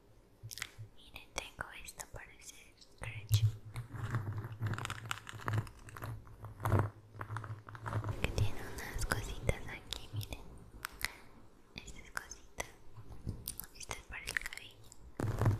Miren, tengo esto para hacer scratch que tiene unas cositas aquí, miren estas cositas Estas para el cabello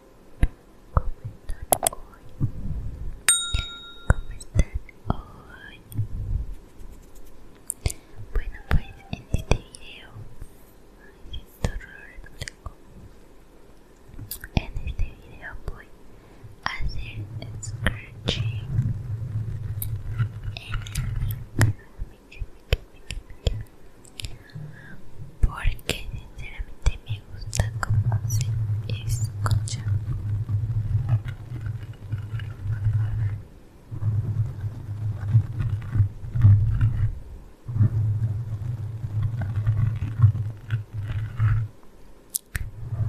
¿Cómo están hoy? ¿Cómo están hoy? Bueno, pues en este video, en este video voy a hacer scratching en me canal porque sinceramente me gusta cómo se escucha la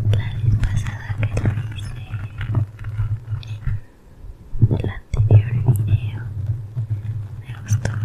vez pasada que lo hice en el anterior video me gustó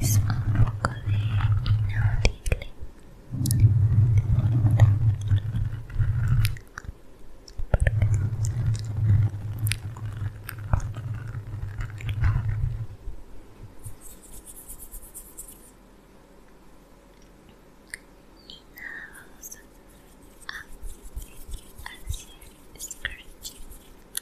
es un poco de inaudible y nada, vamos a hacer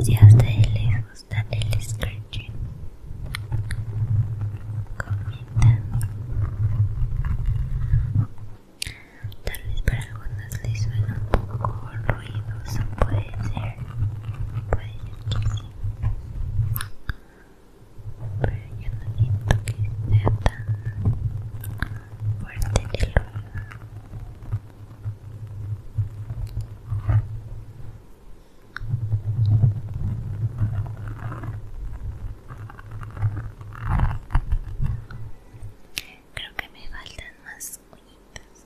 Si a ustedes les gusta el scratching, comenten. Tal vez para algunas les suena un poco ruidoso, puede ser. Puede ser que sí. Pero yo no siento que sea tan fuerte el ruido. Creo que me faltan más uñitas.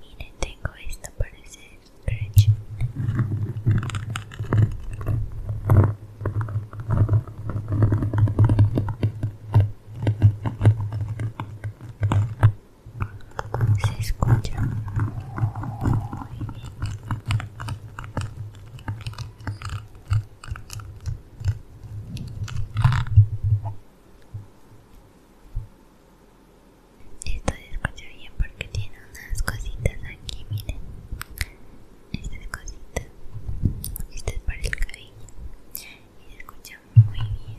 Miren, tengo esto para hacer scratch. Se escucha muy bien. Esto escucha bien porque tiene unas cositas aquí, miren esta cosita, esta es para el cabello y se escucha muy bien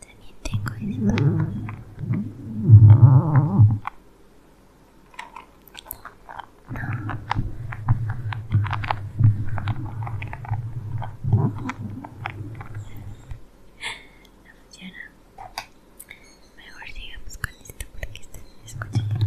También tengo el No. funciona. Mejor sigamos con esto porque está escuchando escuchado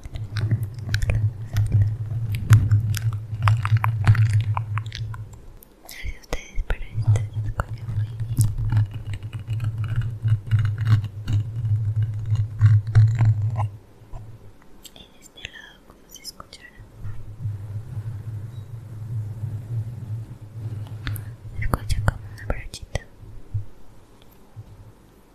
Gracias a ustedes por estar Y En este lado como se escuchará Se escucha como una brochita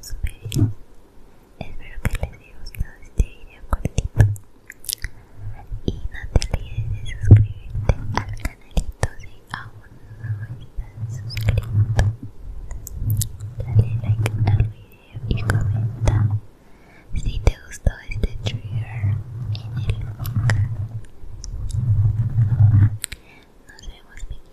Espero que les haya gustado este video cortito. Y no te olvides de suscribirte al canalito si aún no estás suscrito. Dale like al video y comenta si te gustó este trigger en el canal Nos vemos,